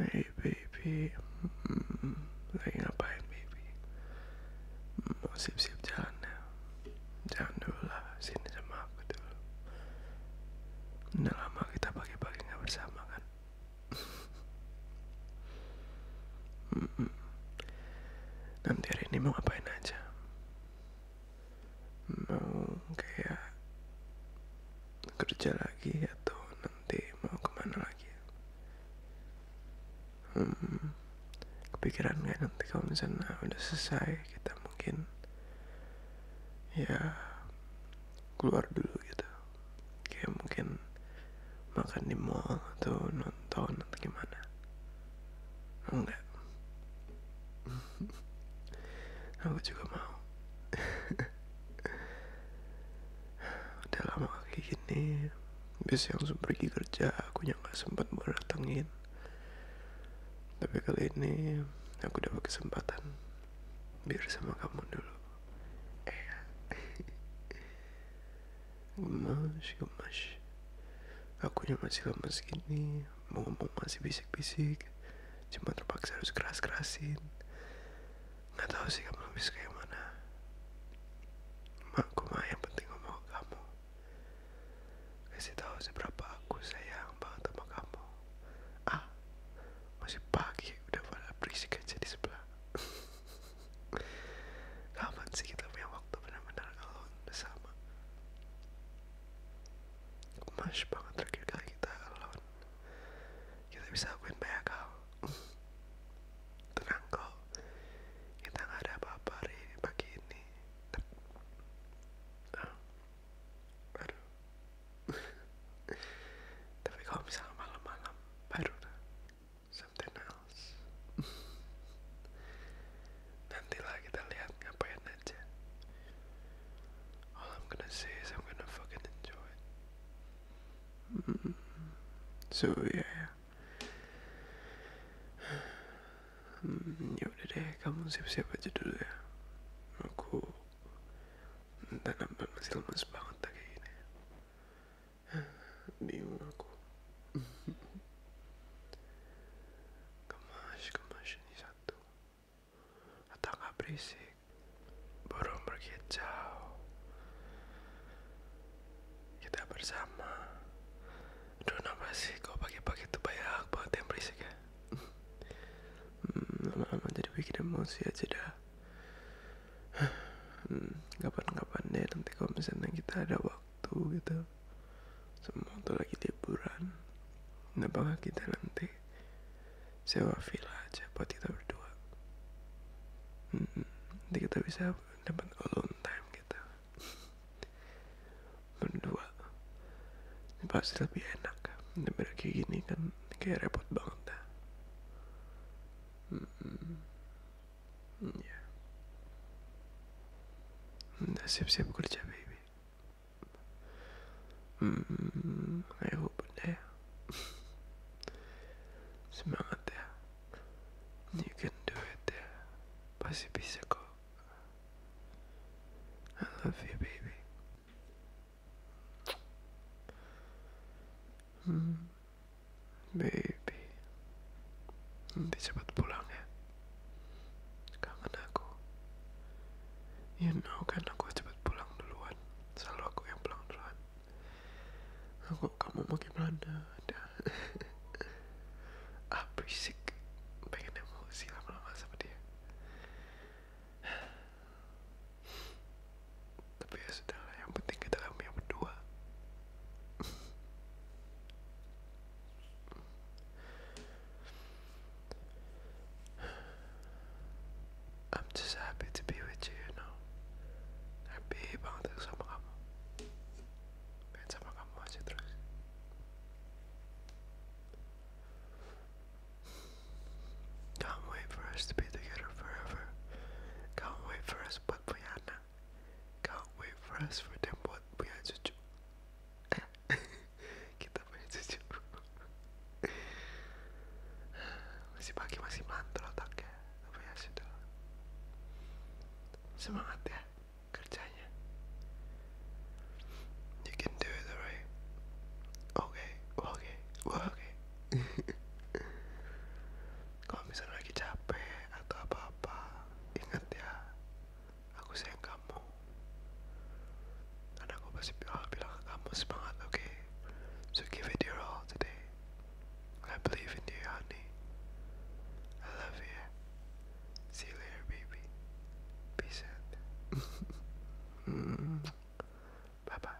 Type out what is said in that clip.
Hey baby, hmm, lagi ngapain baby? Hmm, mau siap-siap jalan ya? Jangan dulu lah, sini sama aku dulu. Udah lama kita pagi-pagi nggak bersama kan? hmm, nanti hari ini mau ngapain aja? Mau kayak kerja lagi atau nanti mau kemana lagi hmm, kepikiran nggak nanti kalau misalnya udah selesai kita mungkin ya keluar dulu gitu kayak mungkin makan di mall atau nonton atau gimana enggak aku juga mau udah lama kayak gini biasanya langsung pergi kerja aku yang sempat buat datengin tapi kali ini aku dapat kesempatan biar sama kamu dulu eh. gemas gemas aku yang sih lemas gini mau ngomong masih bisik-bisik cuma terpaksa harus keras-kerasin nggak tahu sih kamu habis kayak mana makku mah yang penting ngomong ke kamu kasih tahu seberapa aku sayang banget sama kamu ah masih pagi udah pada berisik aja di sebelah kapan sih kita punya waktu benar-benar alone bersama emas banget terakhir kali kita kalau kita bisa akuin banyak hal tenang kok kita nggak ada apa-apa hari pagi ini ah. tapi kalau misalnya malam-malam baru dah something else nantilah kita lihat ngapain All I'm gonna say is I'm gonna fucking enjoy it. Mm So yeah. Hmm, ya udah deh, kamu siap-siap aja dulu ya. Aku dan nampaknya masih lemas banget tak kayak gini. Bingung aku. Kemash, kemash, ini jatuh atau nggak berisik pergi jauh kita bersama dona masih kau kok pagi-pagi tuh banyak banget yang berisik ya hmm, lama-lama hmm, jadi bikin emosi aja dah hmm, kapan-kapan deh nanti kau misalnya kita ada waktu waktu gitu semua tuh lagi liburan kenapa bangga kita nanti sewa villa aja buat kita berdua hmm, nanti kita bisa dapat alone time kita gitu. berdua ini pasti lebih enak daripada kayak gini kan kayak repot banget dah hmm, ya udah siap-siap kerja baby hmm, ayo bunda ya semangat ya you can do it ya pasti bisa kok I love you baby hmm, baby nanti cepat pulang ya Kangen aku. You know kan aku cepet pulang duluan. Selalu aku yang pulang duluan. Aku kamu mau gimana? Ada. ah berisik. Pengen emosi lama-lama sama dia. Tapi ya sudahlah. Yang penting kita dalam yang berdua. I'm just happy to be with you, you know. Happy banget sama kamu. Pengen sama kamu aja terus. Can't wait for us to be together forever. Can't wait for us buat punya anak. Can't wait for for them buat punya cucu. Kita punya cucu. masih pagi masih mantul otaknya, tapi ya sudah. Semangat ya kerjanya. You can do it, alright? Okay, okay, okay. kalau misalnya lagi capek atau apa-apa ingat ya aku sayang kamu karena aku pasti I'll bilang kamu semangat oke okay? so give it your all today I believe in you honey I love you see you later baby peace out mm. bye bye